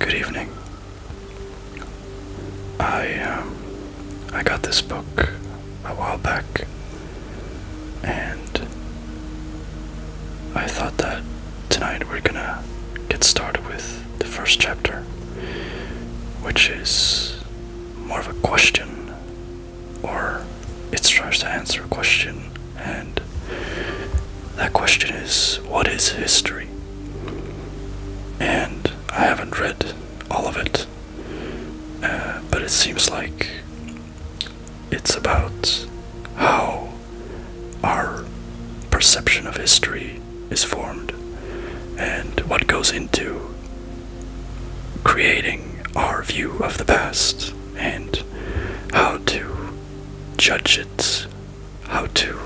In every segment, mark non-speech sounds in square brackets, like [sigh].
Good evening. I um, I got this book a while back, and I thought that tonight we're gonna get started with the first chapter, which is more of a question, or it strives to answer a question and that question is what is history? And I haven't read all of it, uh, but it seems like it's about how our perception of history is formed and what goes into creating our view of the past and how to judge it how to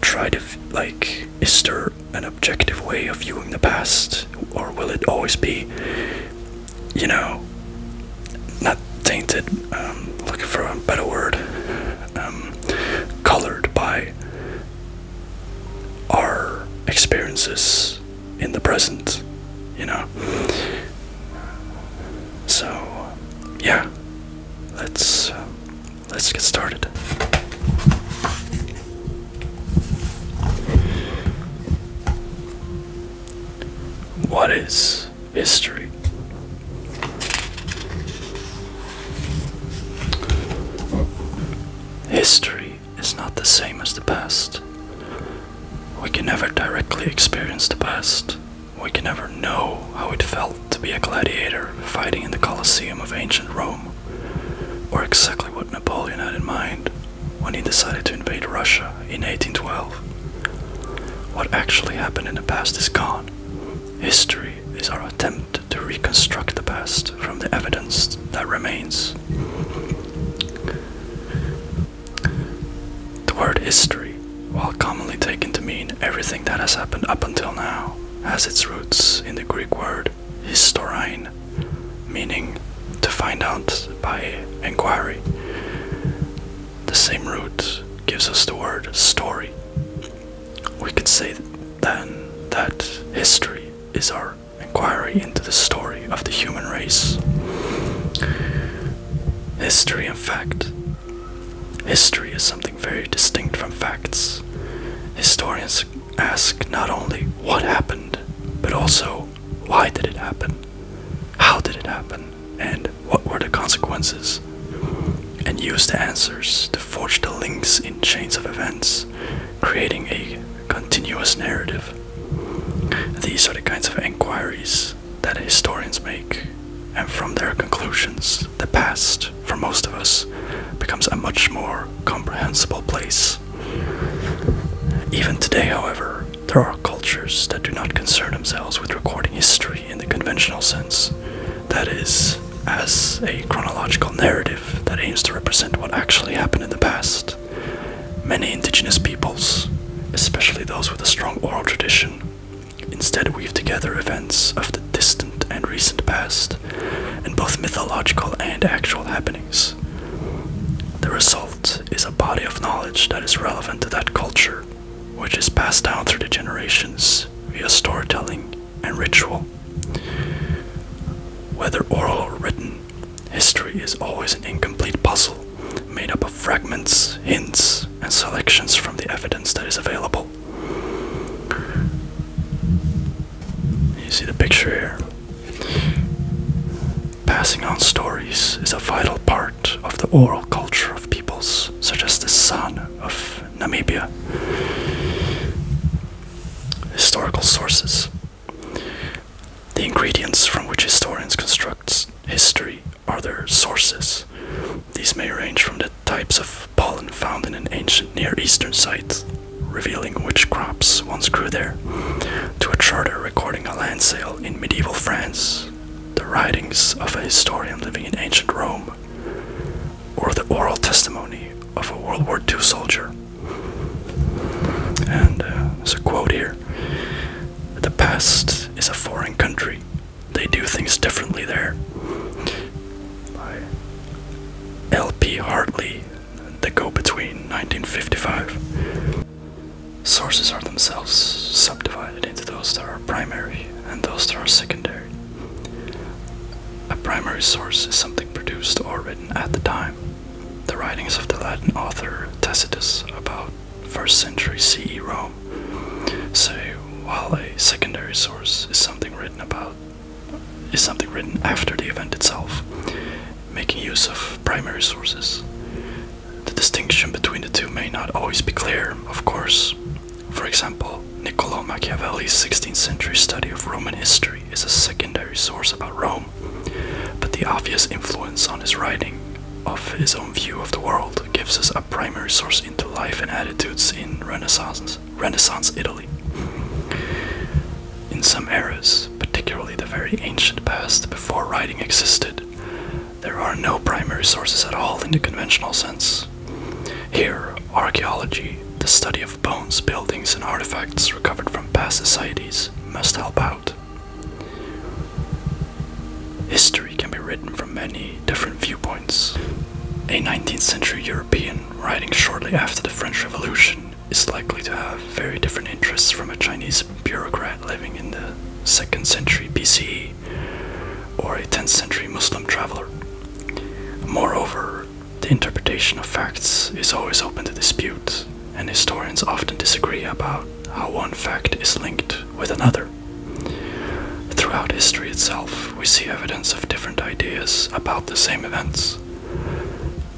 try to like is there an objective way of viewing the past or will it always be you know not tainted um looking for a better word um colored by our experiences in the present you know so yeah let's um, let's get started. What is history? History is not the same as the past. We can never directly experience the past, we can never know how it felt to be a gladiator fighting in the Colosseum of ancient Rome, or exactly what Napoleon had in mind when he decided to invade Russia in 1812. What actually happened in the past is gone. History is our attempt to reconstruct the past from the evidence that remains. The word history, while commonly taken to mean everything that has happened up until now, has its roots in the Greek word historine, meaning to find out by inquiry. The same root gives us the word story. We could say then that history is our inquiry into the story of the human race. History, in fact, History is something very distinct from facts. Historians ask not only what happened, but also why did it happen, how did it happen, and what were the consequences, and use the answers to forge the links in chains of events, creating a continuous narrative. These are the kinds of inquiries that historians make, and from their conclusions, the past, for most of us, becomes a much more comprehensible place. Even today, however, there are cultures that do not concern themselves with recording history in the conventional sense, that is, as a chronological narrative that aims to represent what actually happened in the past. Many indigenous peoples, especially those with a strong oral tradition, Instead, weave together events of the distant and recent past, and both mythological and actual happenings. The result is a body of knowledge that is relevant to that culture, which is passed down through the generations via storytelling and ritual. Whether oral or written, history is always an incomplete puzzle made up of fragments, hints, and selections from the evidence that is available. You see the picture here. Passing on stories is a vital part of the oral culture of peoples such as the San of Namibia. Historical sources. The ingredients from which historians construct history are their sources. These may range from the types of pollen found in an ancient Near Eastern site, revealing which crops once grew there, to a charter recording a land sale in medieval France, the writings of a historian living in ancient Rome, or the oral testimony of a World War II soldier. And uh, there's a quote here The past is a foreign country, they do things differently there. By L.P. Hartley, The Go Between, 1955. Sources are themselves subdivided into those that are primary and those that are secondary. A primary source is something produced or written at the time. The writings of the Latin author Tacitus about first century CE Rome. So while a secondary source is something written about is something written after the event itself, making use of primary sources. The distinction between the two may not always be clear, of course. For example, Niccolo Machiavelli's 16th century study of Roman history is a secondary source about Rome, but the obvious influence on his writing of his own view of the world gives us a primary source into life and attitudes in Renaissance, Renaissance Italy. In some eras, particularly the very ancient past before writing existed, there are no primary sources at all in the conventional sense. Here, archaeology, the study of bones, buildings, and artifacts recovered from past societies, must help out. History can be written from many different viewpoints. A 19th century European writing shortly after the French Revolution is likely to have very different interests from a Chinese bureaucrat living in the 2nd century BCE or a 10th century Muslim traveler. Moreover, the interpretation of facts is always open to dispute, and historians often disagree about how one fact is linked with another. Throughout history itself, we see evidence of different ideas about the same events.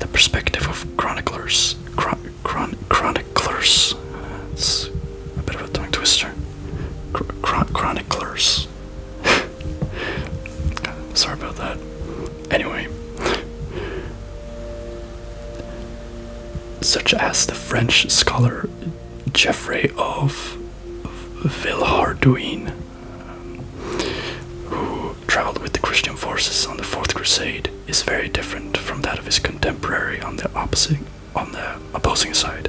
The perspective of chroniclers, chroniclers, it's a bit of a tongue twister. chroniclers. [laughs] Sorry about that. Anyway, such as the French scholar Geoffrey of Villehardouin, who traveled with the Christian forces on the Fourth Crusade, is very different from that of his contemporary on the opposite opposing side,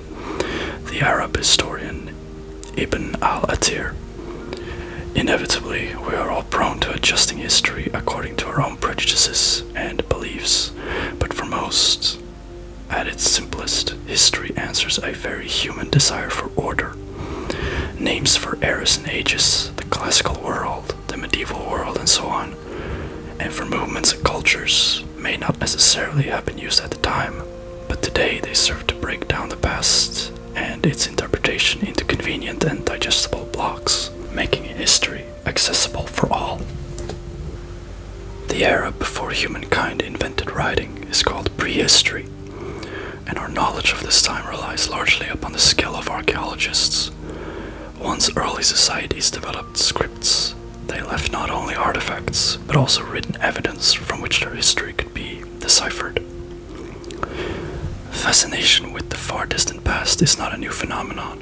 the Arab historian Ibn al-Atir. Inevitably, we are all prone to adjusting history according to our own prejudices and beliefs, but for most, at its simplest, history answers a very human desire for order. Names for eras and ages, the classical world, the medieval world, and so on, and for movements and cultures may not necessarily have been used at the time, but today they serve to break down the past and its interpretation into convenient and digestible blocks, making history accessible for all. The era before humankind invented writing is called prehistory, and our knowledge of this time relies largely upon the skill of archaeologists. Once early societies developed scripts, they left not only artifacts, but also written evidence from which their history could be deciphered. Fascination with the far distant past is not a new phenomenon.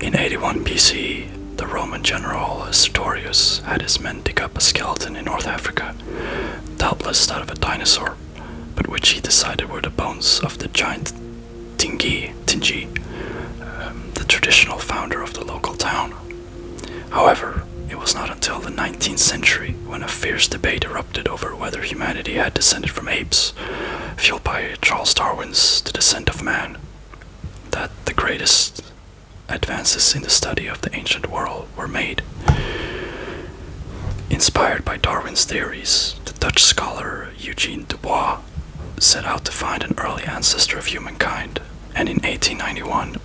In 81 BC, the Roman general Sertorius had his men dig up a skeleton in North Africa, doubtless that of a dinosaur, but which he decided were the bones of the giant Tingi, Tingi um, the traditional founder of the local town. However, it was not until the 19th century when a fierce debate erupted over whether humanity had descended from apes, fueled by Charles Darwin's The Descent of Man that the greatest advances in the study of the ancient world were made. Inspired by Darwin's theories, the Dutch scholar Eugene Dubois set out to find an early ancestor of humankind and in 1891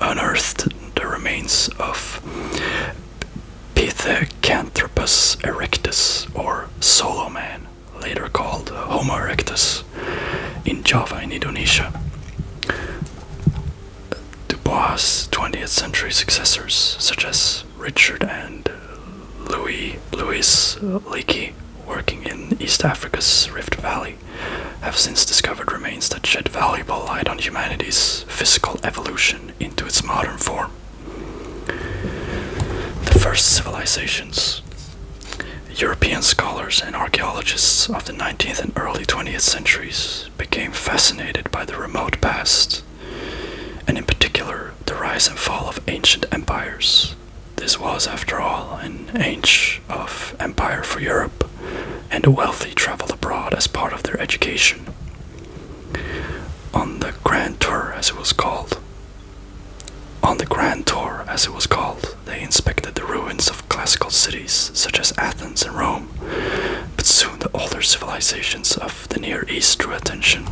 unearthed the remains of Pithecanthropus erectus or solo man later called uh, Homo erectus, in Java in Indonesia. Dubois' 20th century successors, such as Richard and Louis Louis Leakey, working in East Africa's Rift Valley, have since discovered remains that shed valuable light on humanity's physical evolution into its modern form. The first civilizations. European scholars and archaeologists of the 19th and early 20th centuries became fascinated by the remote past, and in particular the rise and fall of ancient empires. This was, after all, an age of empire for Europe, and the wealthy traveled abroad as part of their education. On the Grand Tour, as it was called, on the Grand Tour, as it was called, they inspected the ruins of classical cities such as Athens and Rome, but soon the older civilizations of the Near East drew attention.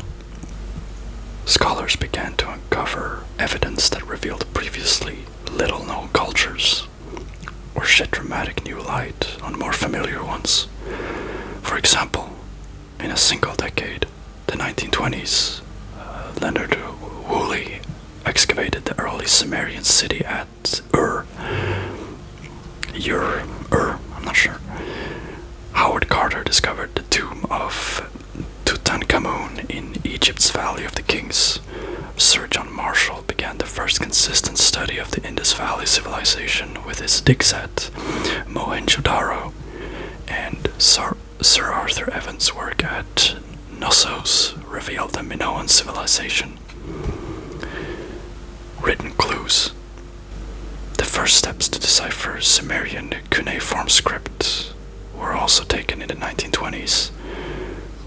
Scholars began to uncover evidence that revealed previously little known cultures, or shed dramatic new light on more familiar ones. For example, in a single decade, the 1920s, uh, Leonard Woolley excavated the early Sumerian city at Ur. Ur, Ur, I'm not sure. Howard Carter discovered the tomb of Tutankhamun in Egypt's Valley of the Kings. Sir John Marshall began the first consistent study of the Indus Valley civilization with his dig set, Mohenjo-Daro, and Sar Sir Arthur Evans' work at Knossos revealed the Minoan civilization. Written clues. The first steps to decipher Sumerian cuneiform script were also taken in the 1920s,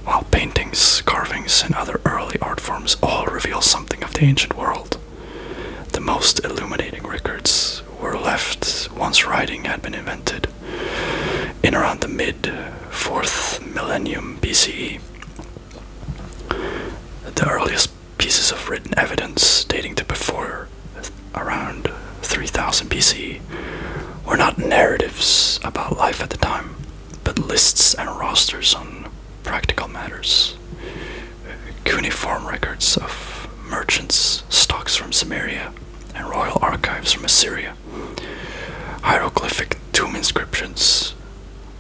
while paintings, carvings, and other early art forms all reveal something of the ancient world. The most illuminating records were left once writing had been invented in around the mid 4th millennium BCE. The earliest pieces of written evidence dating to before around 3000 BCE were not narratives about life at the time, but lists and rosters on practical matters cuneiform records of merchants, stocks from Samaria, and royal archives from Assyria, hieroglyphic tomb inscriptions,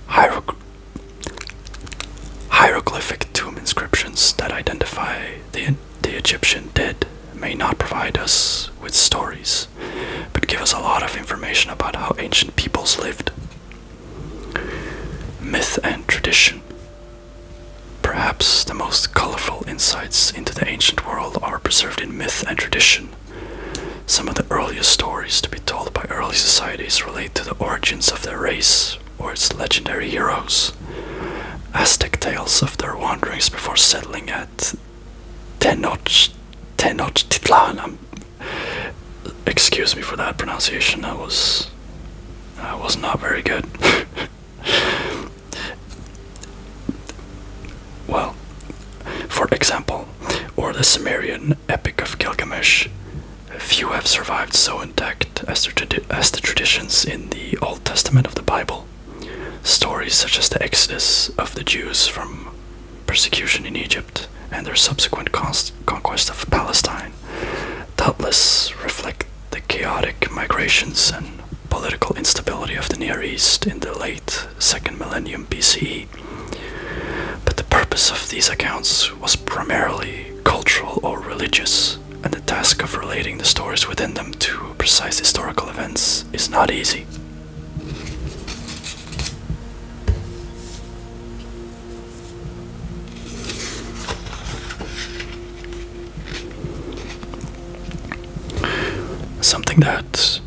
hieroglyphic tomb inscriptions that identify the, the Egyptian dead may not provide us with stories, but give us a lot of information about how ancient peoples lived. Myth and tradition. Perhaps the most colorful insights into the ancient world are preserved in myth and tradition. Some of the earliest stories to be told by early societies relate to the origins of their race or its legendary heroes. Aztec tales of their wanderings before settling at Tenochtitlan. Um, excuse me for that pronunciation. That was that was not very good. [laughs] Well, for example, or the Sumerian Epic of Gilgamesh, few have survived so intact as the, as the traditions in the Old Testament of the Bible. Stories such as the exodus of the Jews from persecution in Egypt and their subsequent conquest of Palestine doubtless reflect the chaotic migrations and political instability of the Near East in the late second millennium BCE. But the purpose of these accounts was primarily cultural or religious, and the task of relating the stories within them to precise historical events is not easy. Something that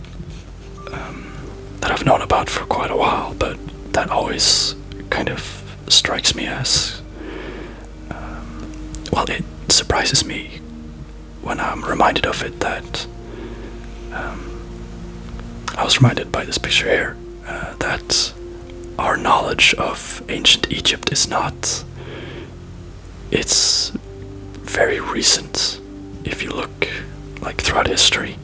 um, that I've known about for quite a while, but that always kind of strikes me as um, well. It surprises me when I'm reminded of it. That um, I was reminded by this picture here uh, that our knowledge of ancient Egypt is not it's very recent if you look like throughout history.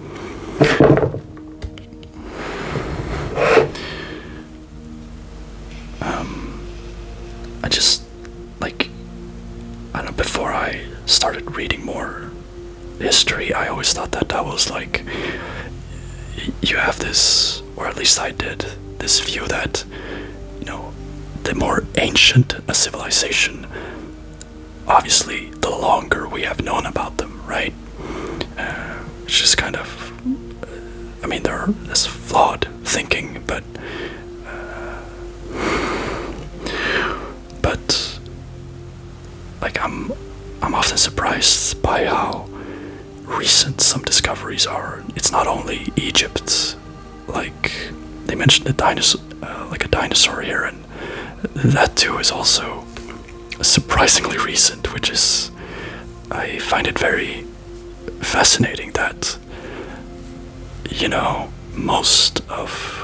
Um, I just like I don't know before I started reading more history I always thought that that was like you have this or at least I did, this view that, you know, the more ancient a civilization, obviously, the longer we have known about them, right? Uh, it's just kind of, I mean, there's flawed thinking, but, uh, but, like I'm, I'm often surprised by how recent some discoveries are. It's not only Egypt, like they mentioned a dinosaur, uh, like a dinosaur here, and that too is also surprisingly recent, which is I find it very fascinating that you know most of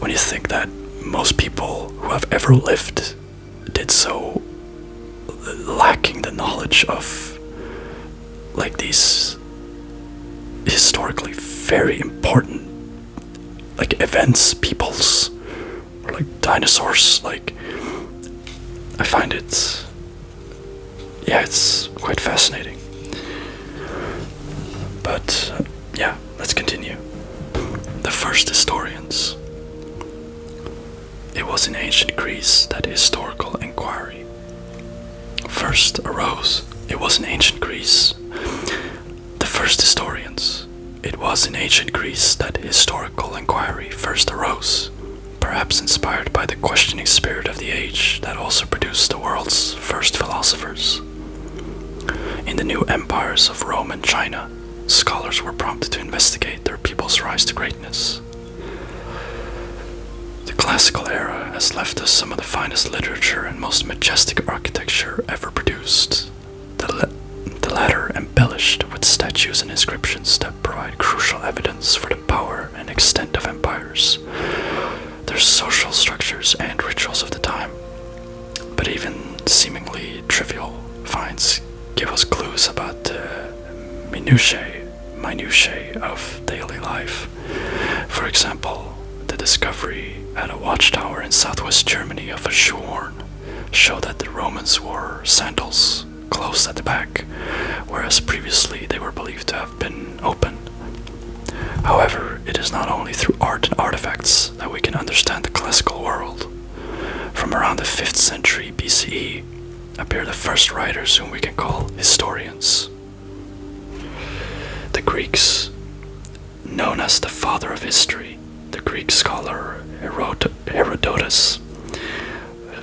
when you think that most people who have ever lived did so lacking the knowledge of like these historically very important like events peoples like dinosaurs like i find it yeah it's quite fascinating but yeah let's continue the first historians it was in ancient Greece that historical inquiry first arose. It was in ancient Greece. The first historians. It was in ancient Greece that historical inquiry first arose, perhaps inspired by the questioning spirit of the age that also produced the world's first philosophers. In the new empires of Rome and China, Scholars were prompted to investigate their people's rise to greatness. The classical era has left us some of the finest literature and most majestic architecture ever produced, the, latter embellished with statues and inscriptions that provide crucial evidence for the power and extent of empires, their social structures, and rituals of the time. But even seemingly trivial finds give us clues about the uh, minutiae, minutiae of daily life. For example, the discovery at a watchtower in southwest Germany of a shoehorn showed that the Romans wore sandals closed at the back, whereas previously they were believed to have been open. However, it is not only through art and artifacts that we can understand the classical world. From around the 5th century BCE appear the first writers whom we can call historians. The Greeks, known as the father of history, the Greek scholar Herodotus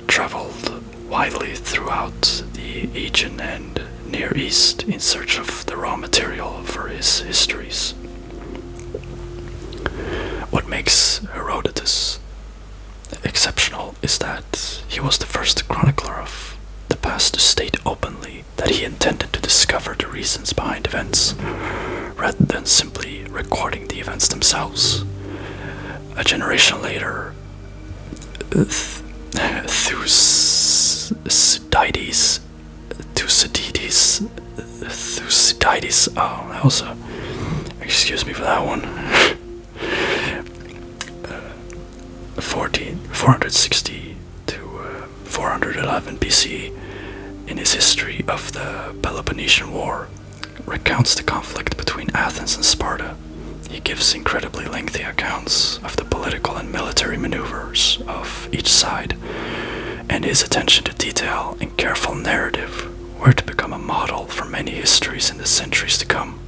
traveled widely throughout the Aegean and Near East in search of the raw material for his histories. What makes Herodotus exceptional is that he was the first chronicler of the past to state openly that he intended to discover the reasons behind events rather than simply recording the events themselves. A generation later, Thucydides, Thucydides Thucydides. Oh, that was a. Excuse me for that one. Uh, 460 to uh, 411 BC, in his history of the Peloponnesian War, recounts the conflict between Athens and Sparta. He gives incredibly lengthy accounts of the political and military maneuvers of each side, and his attention to detail careful narrative were to become a model for many histories in the centuries to come.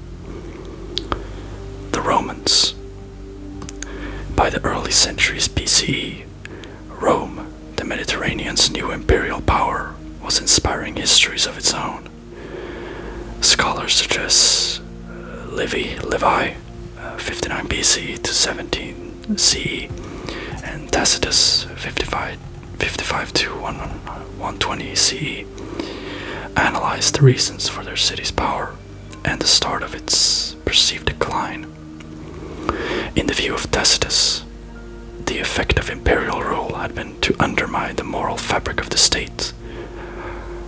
The Romans. By the early centuries BCE, Rome, the Mediterranean's new imperial power, was inspiring histories of its own. Scholars such Livy, Livy, uh, 59 BC to 17 CE, and Tacitus 55 55 to 120 CE analyzed the reasons for their city's power and the start of its perceived decline. In the view of Tacitus, the effect of imperial rule had been to undermine the moral fabric of the state.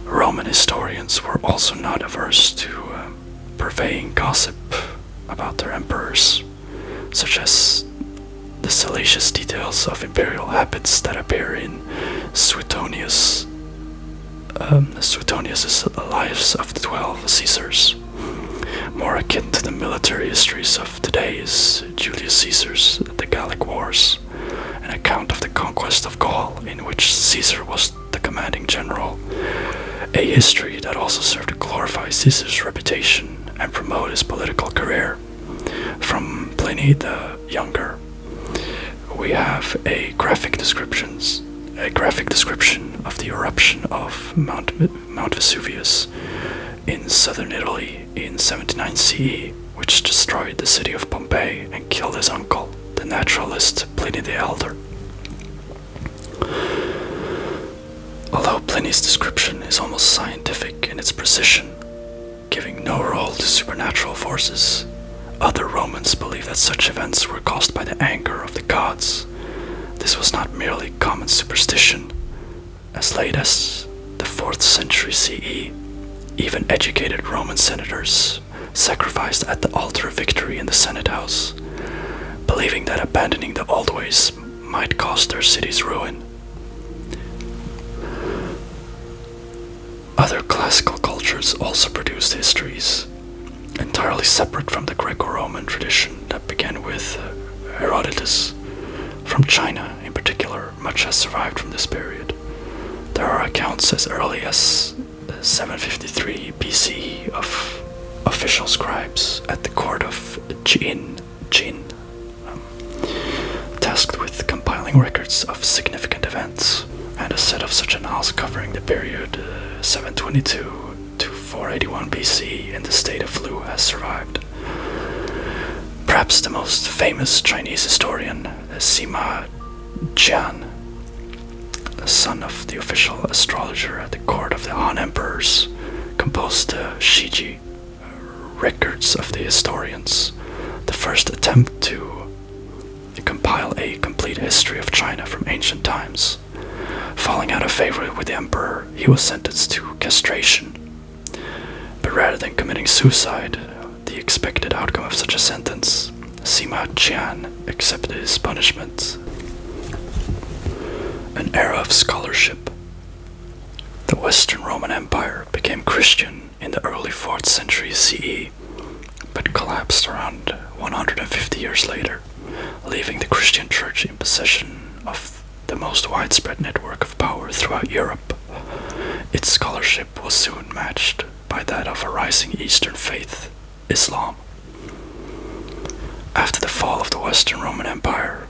Roman historians were also not averse to uh, purveying gossip about their emperors such as the salacious details of imperial habits that appear in Suetonius' um, lives of the twelve Caesars. More akin to the military histories of today is Julius Caesar's The Gallic Wars, an account of the conquest of Gaul in which Caesar was the commanding general a history that also served to glorify Caesar's reputation and promote his political career. From Pliny the Younger, we have a graphic descriptions a graphic description of the eruption of Mount, Mount Vesuvius in southern Italy in 79 CE, which destroyed the city of Pompeii and killed his uncle, the naturalist Pliny the Elder. Although Pliny's description is almost scientific in its precision, giving no role to supernatural forces, other Romans believed that such events were caused by the anger of the gods. This was not merely common superstition. As late as the 4th century CE, even educated Roman senators sacrificed at the altar of victory in the Senate house, believing that abandoning the old ways might cause their city's ruin. Other classical cultures also produced histories, entirely separate from the Greco Roman tradition that began with uh, Herodotus. From China, in particular, much has survived from this period. There are accounts as early as uh, 753 BC of official scribes at the court of Qin, Jin um, tasked with compiling records of significant events, and a set of such annals covering the period uh, 722 to 481 BC in the state of Lu has survived. Perhaps the most famous Chinese historian, Sima Jian, son of the official astrologer at the court of the Han emperors, composed the uh, Shiji uh, records of the historians, the first attempt to compile a complete history of China from ancient times. Falling out of favor with the emperor, he was sentenced to castration. But rather than committing suicide, the expected outcome of such a sentence, Sima Qian accepted his punishment an era of scholarship. The Western Roman Empire became Christian in the early 4th century CE, but collapsed around 150 years later, leaving the Christian Church in possession of the most widespread network of power throughout Europe. Its scholarship was soon matched by that of a rising Eastern faith Islam. After the fall of the Western Roman Empire,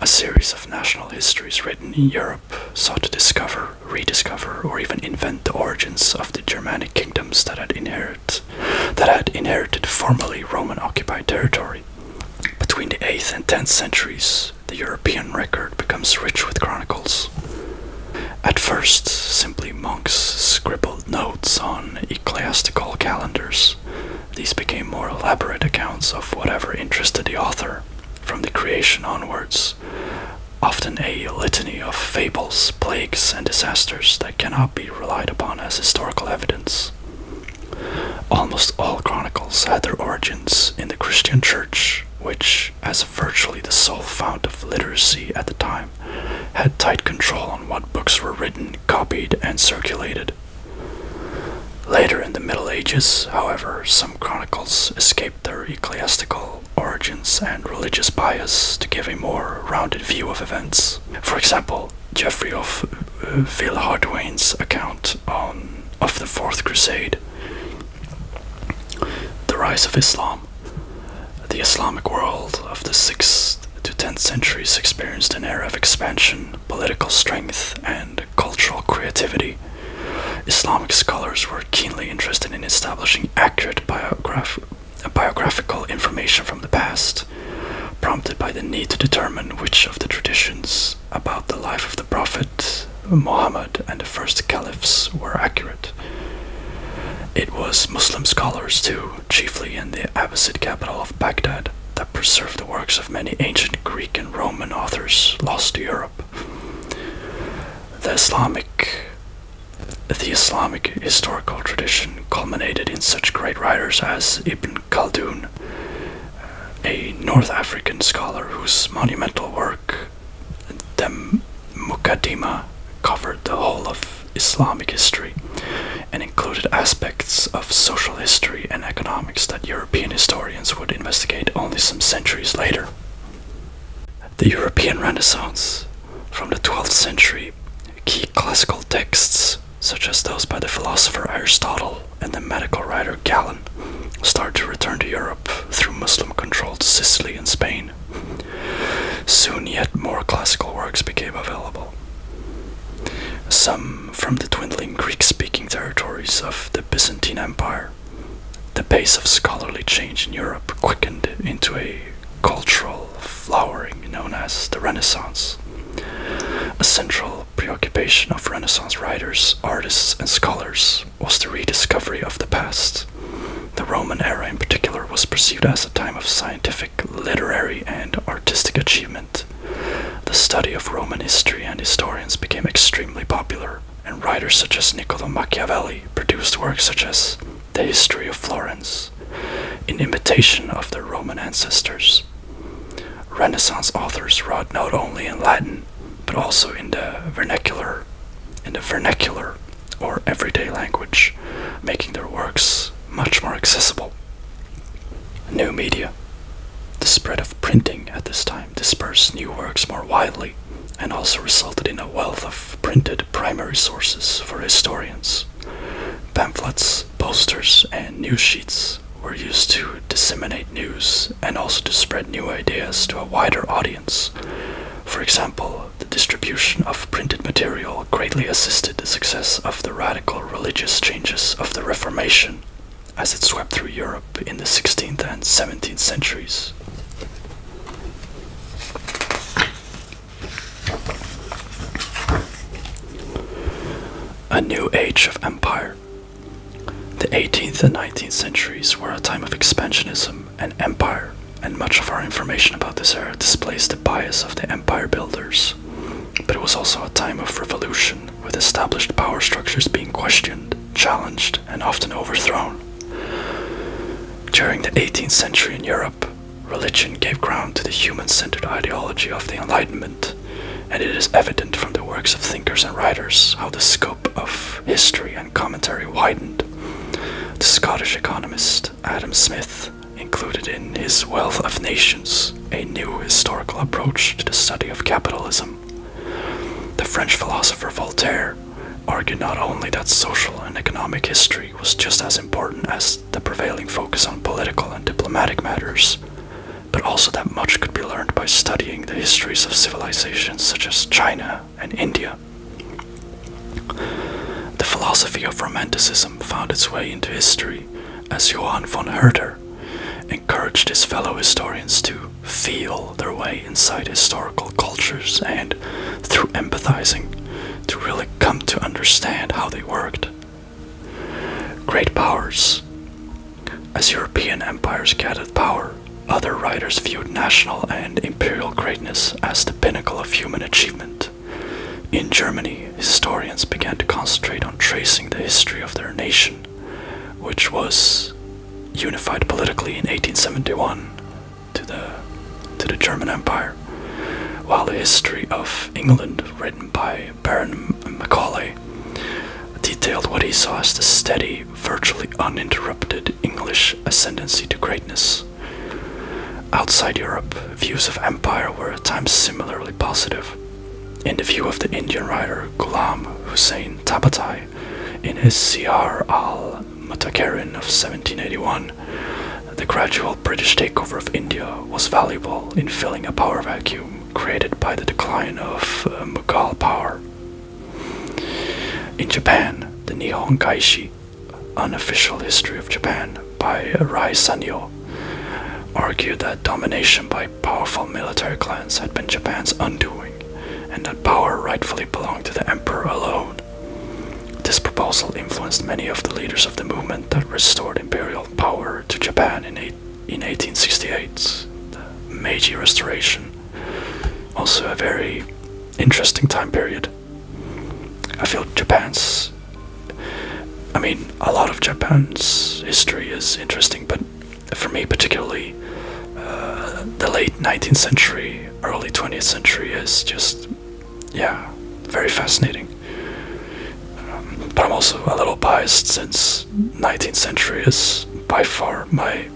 a series of national histories written in Europe sought to discover, rediscover, or even invent the origins of the Germanic kingdoms that had inherited, that had inherited formerly Roman-occupied territory. Between the 8th and 10th centuries, the European record becomes rich with chronicles. At first, simply monks scribbled notes on ecclesiastical calendars. These became more elaborate accounts of whatever interested the author, from the creation onwards, often a litany of fables, plagues, and disasters that cannot be relied upon as historical evidence. Almost all chronicles had their origins in the Christian Church, which, as virtually the sole fount of literacy at the time, had tight control on what books were written, copied, and circulated. Later in the Middle Ages, however, some chronicles escaped their ecclesiastical origins and religious bias to give a more rounded view of events. For example, Geoffrey of uh, Villehardouin's account on, of the Fourth Crusade, the rise of Islam, the Islamic world of the 6th 6th to 10th centuries experienced an era of expansion, political strength, and cultural creativity. Islamic scholars were keenly interested in establishing accurate biographical information from the past, prompted by the need to determine which of the traditions about the life of the Prophet, Muhammad, and the first caliphs were accurate. It was Muslim scholars too chiefly in the Abbasid capital of Baghdad, that preserved the works of many ancient Greek and Roman authors lost to Europe. The Islamic the Islamic historical tradition culminated in such great writers as Ibn Khaldun, a North African scholar whose monumental work, the Mukaddima, covered the whole of Islamic history and included aspects of social history and economics that European historians would investigate only some centuries later. The European Renaissance from the 12th century, key classical texts such as those by the philosopher Aristotle and the medical writer Galen start to return to Europe through Muslim controlled Sicily and Spain. Soon, yet more classical works became available. Some from the dwindling Greek speaking territories of the Byzantine Empire. The pace of scholarly change in Europe quickened into a cultural flowering known as the Renaissance. A central preoccupation of Renaissance writers, artists, and scholars was the rediscovery of the past. The Roman era, in particular, was perceived as a time of science scientific, literary, and artistic achievement. The study of Roman history and historians became extremely popular, and writers such as Niccolo Machiavelli produced works such as The History of Florence, in imitation of their Roman ancestors. Renaissance authors wrote not only in Latin, but also in the vernacular, in the vernacular or everyday language, making their works much more accessible. New media. The spread of printing at this time dispersed new works more widely and also resulted in a wealth of printed primary sources for historians. Pamphlets, posters, and news sheets were used to disseminate news and also to spread new ideas to a wider audience. For example, the distribution of printed material greatly assisted the success of the radical religious changes of the Reformation as it swept through Europe in the 16th and 17th centuries. A new age of empire. The 18th and 19th centuries were a time of expansionism and empire, and much of our information about this era displays the bias of the empire builders. But it was also a time of revolution, with established power structures being questioned, challenged, and often overthrown. During the 18th century in Europe, religion gave ground to the human centered ideology of the Enlightenment, and it is evident from the works of thinkers and writers how the scope of history and commentary widened. The Scottish economist Adam Smith included in his Wealth of Nations a new historical approach to the study of capitalism. The French philosopher Voltaire argued not only that social and economic history was just as important as the prevailing focus on political and diplomatic matters, but also that much could be learned by studying the histories of civilizations such as China and India. The philosophy of Romanticism found its way into history as Johann von Herder encouraged his fellow historians to feel their way inside historical cultures and, through empathizing, to really come to understand how they worked. Great powers. As European empires gathered power, other writers viewed national and imperial greatness as the pinnacle of human achievement. In Germany, historians began to concentrate on tracing the history of their nation, which was unified politically in 1871 to the, to the German Empire, while the history of England, written by Baron Macaulay, detailed what he saw as the steady, virtually uninterrupted English ascendancy to greatness. Outside Europe, views of empire were at times similarly positive. In the view of the Indian writer Gulam Hussein Tabatai, in his Siyar al Mutakarin of 1781, the gradual British takeover of India was valuable in filling a power vacuum created by the decline of uh, Mughal power. In Japan, the Nihon Kaishi Unofficial History of Japan by Rai Sanyo argued that domination by powerful military clans had been Japan's undoing and that power rightfully belonged to the emperor alone. This proposal influenced many of the leaders of the movement that restored imperial power to Japan in, in 1868, the Meiji Restoration. Also, a very interesting time period. I feel Japan's. I mean, a lot of Japan's history is interesting, but for me, particularly, uh, the late 19th century, early 20th century is just, yeah, very fascinating. Um, but I'm also a little biased since 19th century is by far my.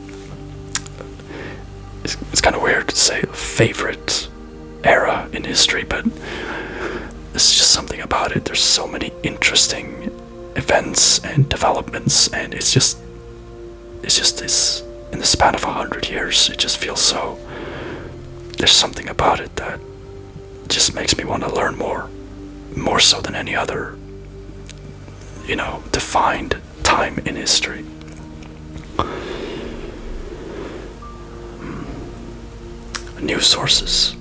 it's kind of weird to say favorite era in history, but it's just something about it. There's so many interesting events and developments, and it's just it's just this in the span of a hundred years. It just feels so. There's something about it that just makes me want to learn more, more so than any other, you know, defined time in history. New sources.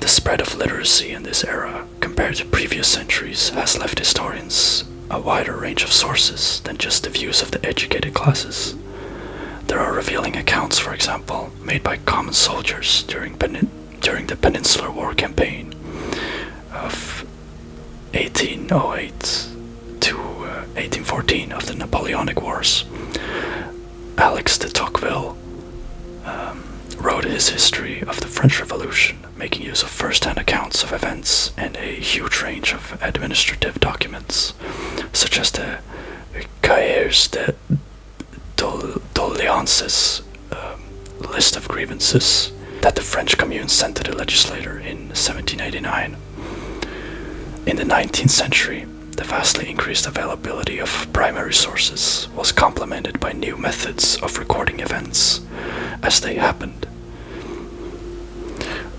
The spread of literacy in this era, compared to previous centuries, has left historians a wider range of sources than just the views of the educated classes. There are revealing accounts, for example, made by common soldiers during, the Peninsular War campaign of 1808 to 1814 uh, of the Napoleonic Wars. Alex de Tocqueville um, wrote his history of the French Revolution, making use of first hand accounts of events and a huge range of administrative documents, such as the Cahiers de Doléances, um, list of grievances, that the French Commune sent to the legislature in 1789. In the 19th century, the vastly increased availability of primary sources was complemented by new methods of recording events as they happened.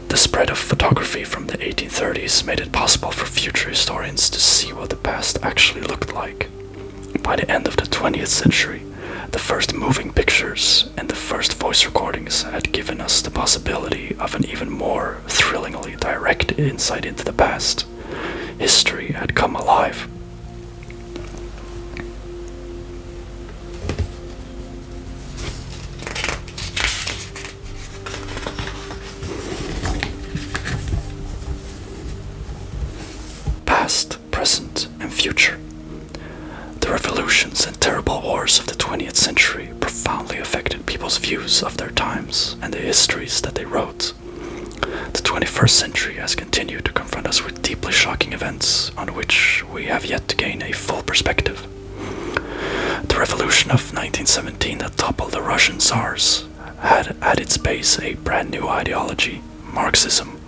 The spread of photography from the 1830s made it possible for future historians to see what the past actually looked like. By the end of the 20th century, the first moving pictures and the first voice recordings had given us the possibility of an even more thrillingly direct insight into the past. History had come alive. Past, present, and future. The revolutions the terrible wars of the 20th century profoundly affected people's views of their times and the histories that they wrote. The 21st century has continued to confront us with deeply shocking events on which we have yet to gain a full perspective. The revolution of 1917 that toppled the Russian Tsars had at its base a brand new ideology, Marxism.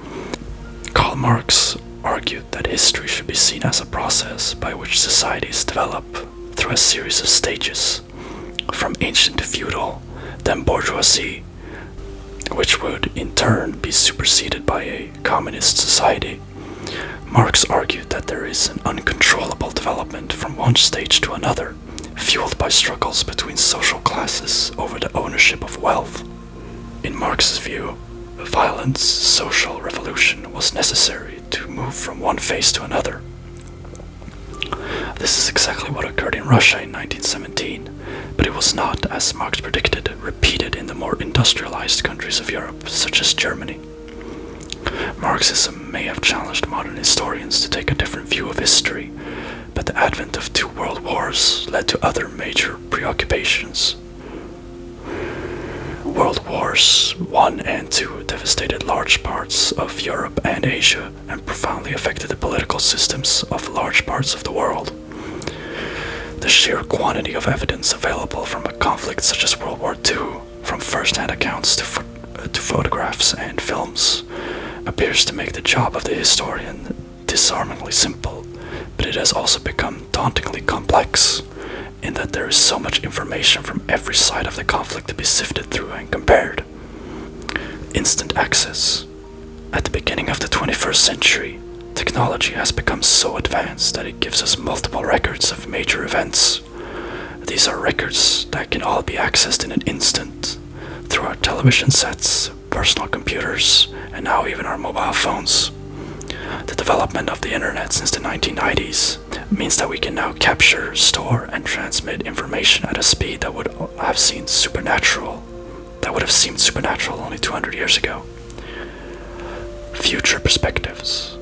Karl Marx argued that history should be seen as a process by which societies develop through a series of stages, from ancient to feudal, then bourgeoisie, which would in turn be superseded by a communist society. Marx argued that there is an uncontrollable development from one stage to another, fueled by struggles between social classes over the ownership of wealth. In Marx's view, a violent social revolution was necessary to move from one phase to another. This is exactly what occurred in Russia in 1917, but it was not, as Marx predicted, repeated in the more industrialized countries of Europe, such as Germany. Marxism may have challenged modern historians to take a different view of history, but the advent of two world wars led to other major preoccupations. World Wars I and II devastated large parts of Europe and Asia and profoundly affected the political systems of large parts of the world. The sheer quantity of evidence available from a conflict such as World War II, from first hand accounts to, to photographs and films, appears to make the job of the historian disarmingly simple, but it has also become dauntingly complex in that there is so much information from every side of the conflict to be sifted through and compared. Instant access. At the beginning of the 21st century, technology has become so advanced that it gives us multiple records of major events. These are records that can all be accessed in an instant through our television sets, personal computers, and now even our mobile phones. The development of the internet since the 1990s means that we can now capture, store, and transmit information at a speed that would have seemed supernatural, that would have seemed supernatural only 200 years ago. Future perspectives,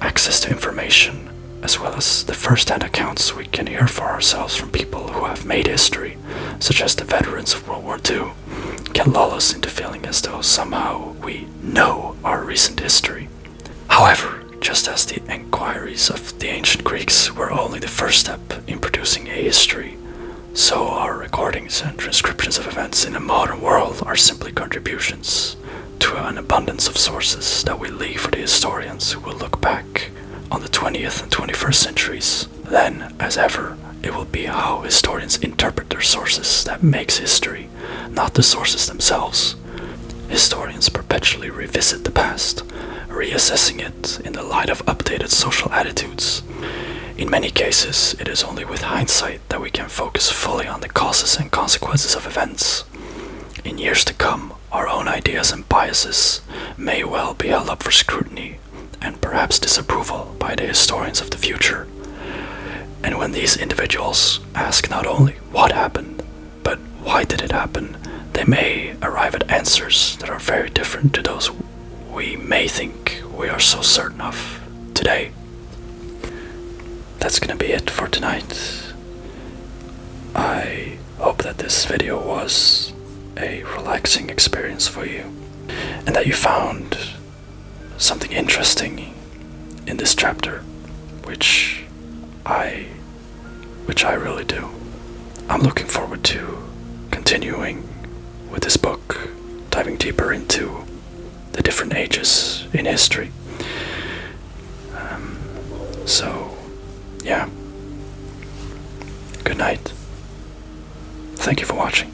access to information, as well as the first-hand accounts we can hear for ourselves from people who have made history, such as the veterans of World War II, can lull us into feeling as though somehow we know our recent history. However, just as the inquiries of the ancient Greeks were only the first step in producing a history, so our recordings and transcriptions of events in the modern world are simply contributions to an abundance of sources that we leave for the historians who will look back on the 20th and 21st centuries. Then, as ever, it will be how historians interpret their sources that makes history not the sources themselves. Historians perpetually revisit the past, reassessing it in the light of updated social attitudes. In many cases, it is only with hindsight that we can focus fully on the causes and consequences of events. In years to come, our own ideas and biases may well be held up for scrutiny and perhaps disapproval by the historians of the future. And when these individuals ask not only what happened, but why did it happen, they may arrive at answers that are very different to those we may think we are so certain of today. That's gonna be it for tonight. I hope that this video was a relaxing experience for you and that you found something interesting in this chapter, which I which I really do. I'm looking forward to continuing with this book, diving deeper into the different ages in history. Um, so, yeah. Good night. Thank you for watching.